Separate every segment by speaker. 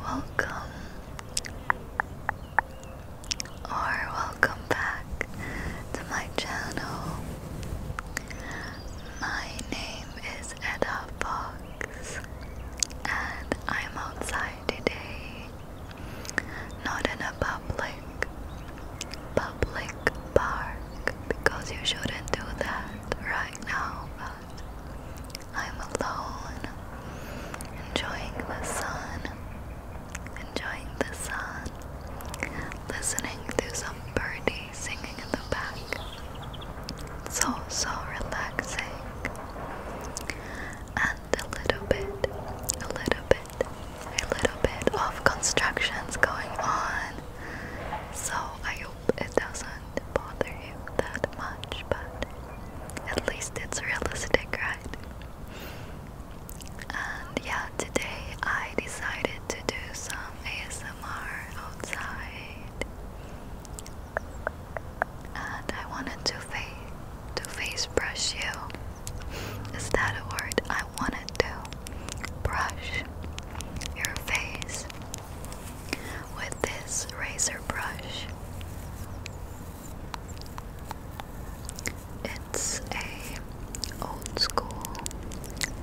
Speaker 1: Welcome or welcome back to my channel. My name is Edda Fox and I'm outside today. Not in a public public park because you shouldn't do that right now. I'm alone, enjoying the sun, enjoying the sun, listening to some birdie singing in the back. so, so relaxing. And a little bit, a little bit, a little bit of constructions going on. So I hope it doesn't bother him that much, but at least it's realistic, right? And yeah, today I decided to do some ASMR outside, and I wanted to face to face brush you. Is that a word? I wanted to brush your face with this razor brush. It's a old school,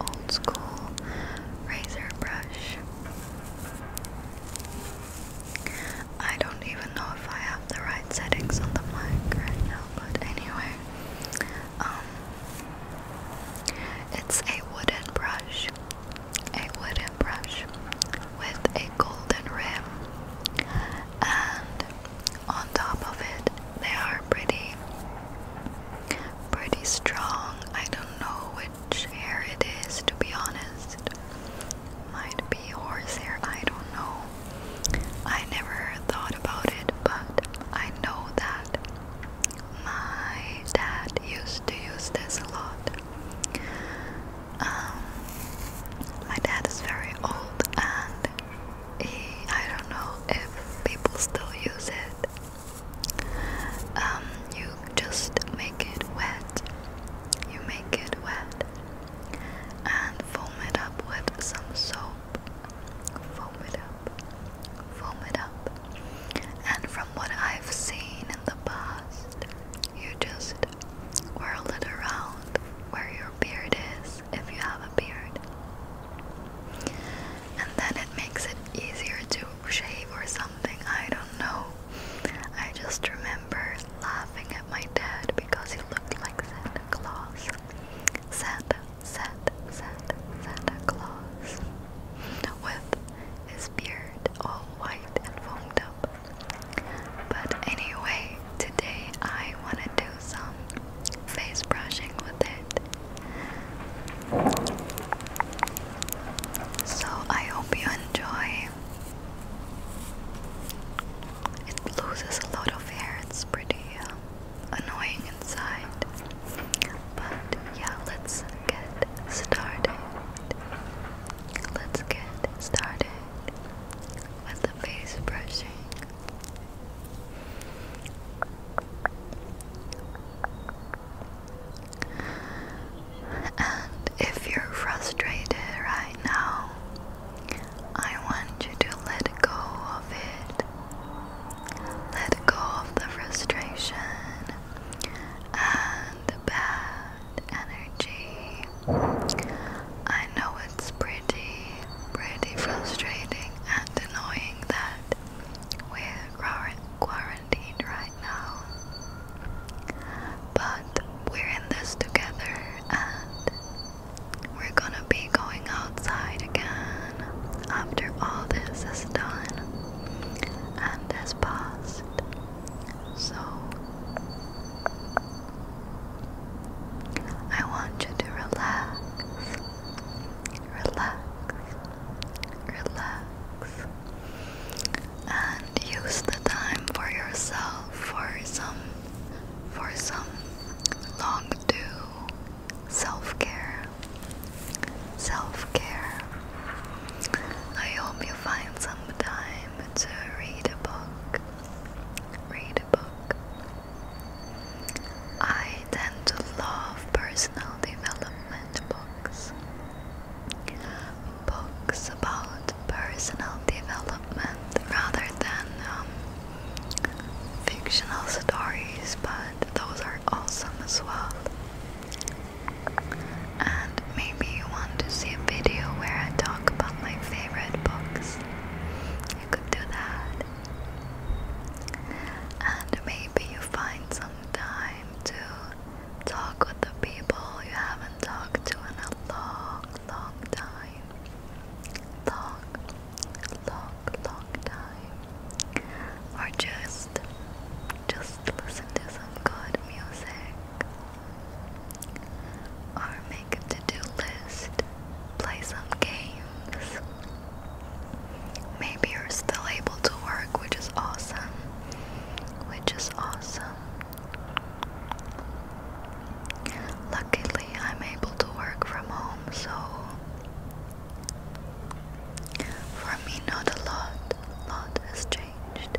Speaker 1: old school razor brush. I don't even know if I have the right settings on the mic right now, but anyway, um, it's a wooden brush a wooden brush with a golden rim, and on top of it, they are pretty, pretty strong. I don't know which hair it is, to be honest. Might be horse hair, I don't know. I never thought about it, but I know that my dad used to use this a lot um, my dad is very old and he, I don't know if people still use it. Um, you just make it wet. You make it wet and foam it up with some soap. Foam it up. Foam it up. And from what I've seen, in the past. You just whirl it around where your beard is if you have a beard. And then it makes it easier to shave or something. I don't know. I just remember laughing at my dad because he looked like Santa Claus. Santa, Santa, Santa, Santa Claus. With his beard all white and foamed up. But anyway, today I want to do some face brushing with it. So I hope you enjoy. It loses a lot of hair, it's pretty uh, annoying inside. But yeah, let's get started. Let's get started with the face brushing. And if you're frustrated right now, I want you to let go of it. Let go of the frustration and the bad energy. I know it's pretty, pretty frustrating and annoying that we're quarantined right now, but we're in this together and we're gonna be going outside again after all this is done and has passed. So I want you to relax, relax, relax, and use the time for yourself for some for some long due self-care. Self-care. I hope you find some time time to read a book. Read a book. I tend to love personal development books. Books about personal development rather than um, fictional stories, but those are awesome as well. And maybe you want to see a video where I talk about my favorite books. You could do that. And maybe you find some time to talk with the people you haven't talked to in a long, long time. Long, long, long time. Or just just listen to some good music. Or make a to-do list, play some games. Maybe you're still able to work, which is awesome. Which is awesome. Luckily, I'm able to work from home, so for me, not a lot. lot has changed.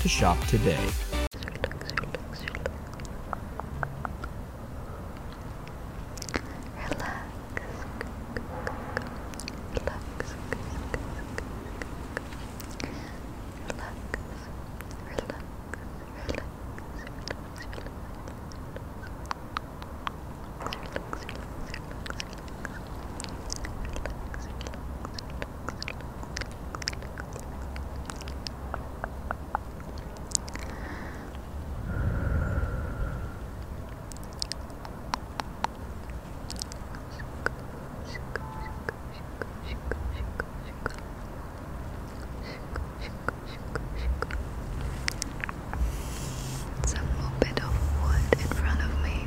Speaker 1: to shop today. Some more bit of wood in front of me.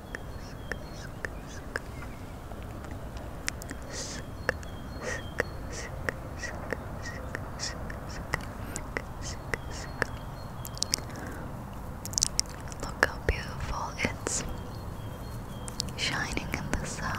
Speaker 1: Look how beautiful it's shining in the sun.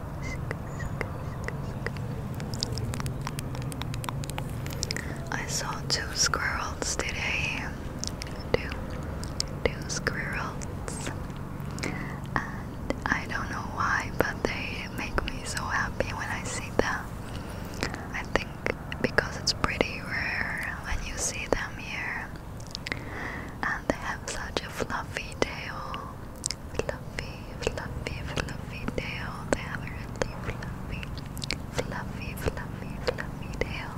Speaker 1: I saw two squirrels today. Two, two squirrels. And I don't know why, but they make me so happy when I see them. I think because it's pretty rare when you see them here. And they have such a fluffy tail fluffy, fluffy, fluffy tail. They have a really fluffy, fluffy, fluffy, fluffy tail.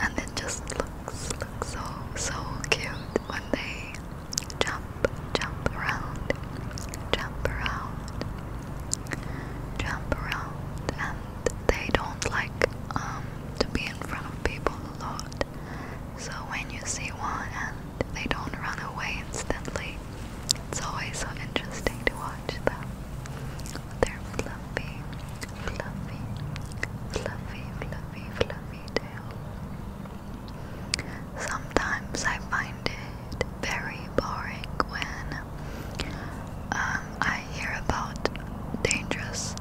Speaker 1: And it just looks, looks so, so cute when they jump, jump around, jump around, jump around. And they don't like um, to be in front of people a lot. So when you see one and they don't run away instantly. It's always so interesting to watch them. They're fluffy, fluffy, fluffy, fluffy, fluffy tail. Sometimes I find it very boring when um, I hear about dangerous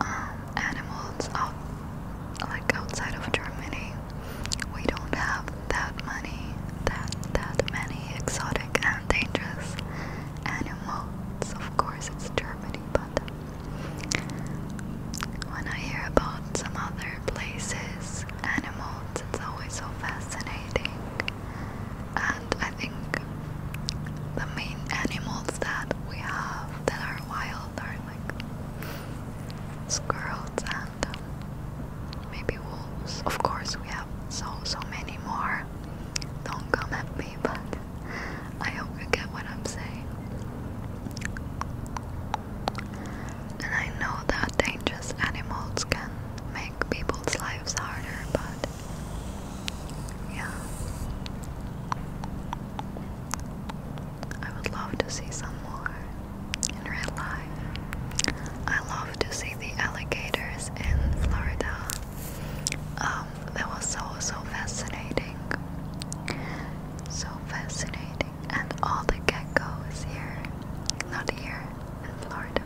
Speaker 1: um, animals out like outside of Germany, we don't have that money, that that many exotic and dangerous animals. Of course, it's Germany, but when I hear about some other places, animals, it's always so fascinating. And I think the main animals that we have that are wild are like squirrels and um, maybe wolves. Of course, we have so so many more. Don't come at me, but I hope you get what I'm saying. And I know that dangerous animals can make people's lives harder, but yeah. I would love to see some more in real life. I love to see the alligators in Florida. Um, that was so so fascinating. So fascinating. And all the geckos here. Not here in Florida.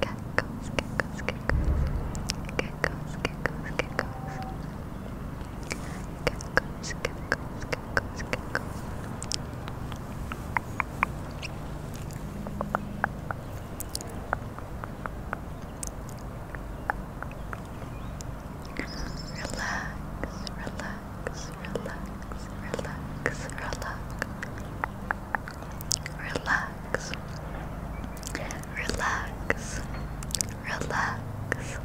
Speaker 1: Geckos, geckos, geckos. Geckos, geckos, geckos. Geckos, geckos, geckos, geckos. Relax, relax, relax, relax, relax. Relax. Relax. Relax.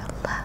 Speaker 1: Relax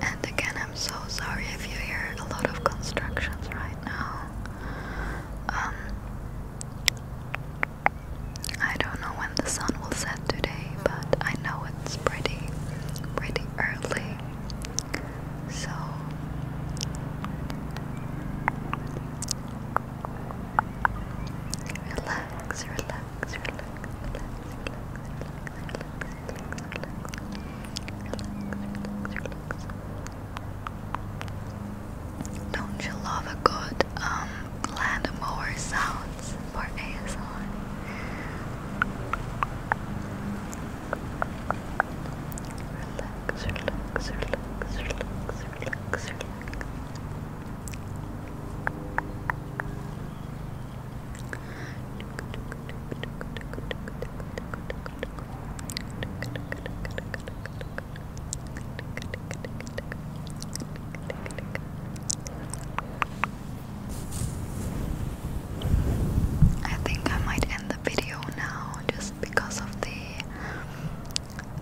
Speaker 1: and again, I'm so sorry if you hear a lot of constructions right now. Um, I don't know when the sun will set today, but I know it's pretty, pretty early. So. relax, relax, relax, relax, relax, relax, relax. Don't you love a good um lawnmower sounds for ASMR? I think I might end the video now just because of the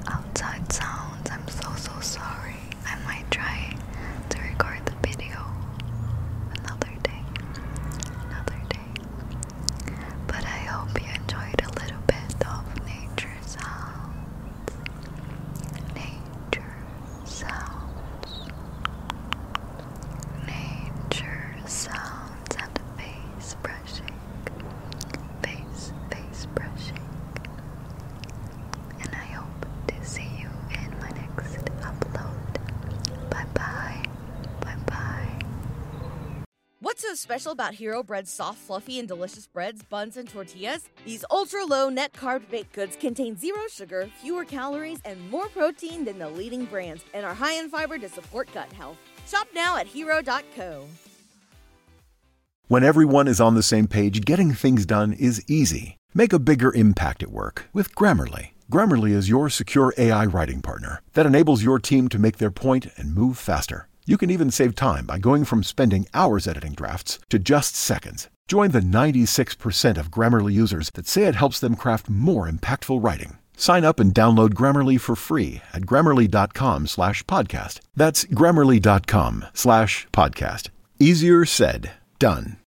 Speaker 1: outside sounds. I'm so so sorry. I might try to record the video another another day, another day. But I hope you enjoyed a little bit of nature sounds. Nature sounds. Nature sounds and face brushing. Face, face brushing and I hope to see you in my next upload. Bye bye. Bye bye. What's so special about Hero Bread's soft, fluffy, and delicious breads, buns, and tortillas? These ultra low net carb baked goods contain zero sugar, fewer calories, and more protein than the leading brands, and are high in fiber to support gut health. Shop now at hero.co. When everyone is on the same page, getting things done is easy. Make a bigger impact at work with Grammarly. Grammarly is your secure AI writing partner that enables your team to make their point and move faster. You can even save time by going from spending hours editing drafts to just seconds. Join the 96% of Grammarly users that say it helps them craft more impactful writing. Sign up and download Grammarly for free at grammarly.com slash podcast. That's grammarly.com slash podcast. Easier said, done.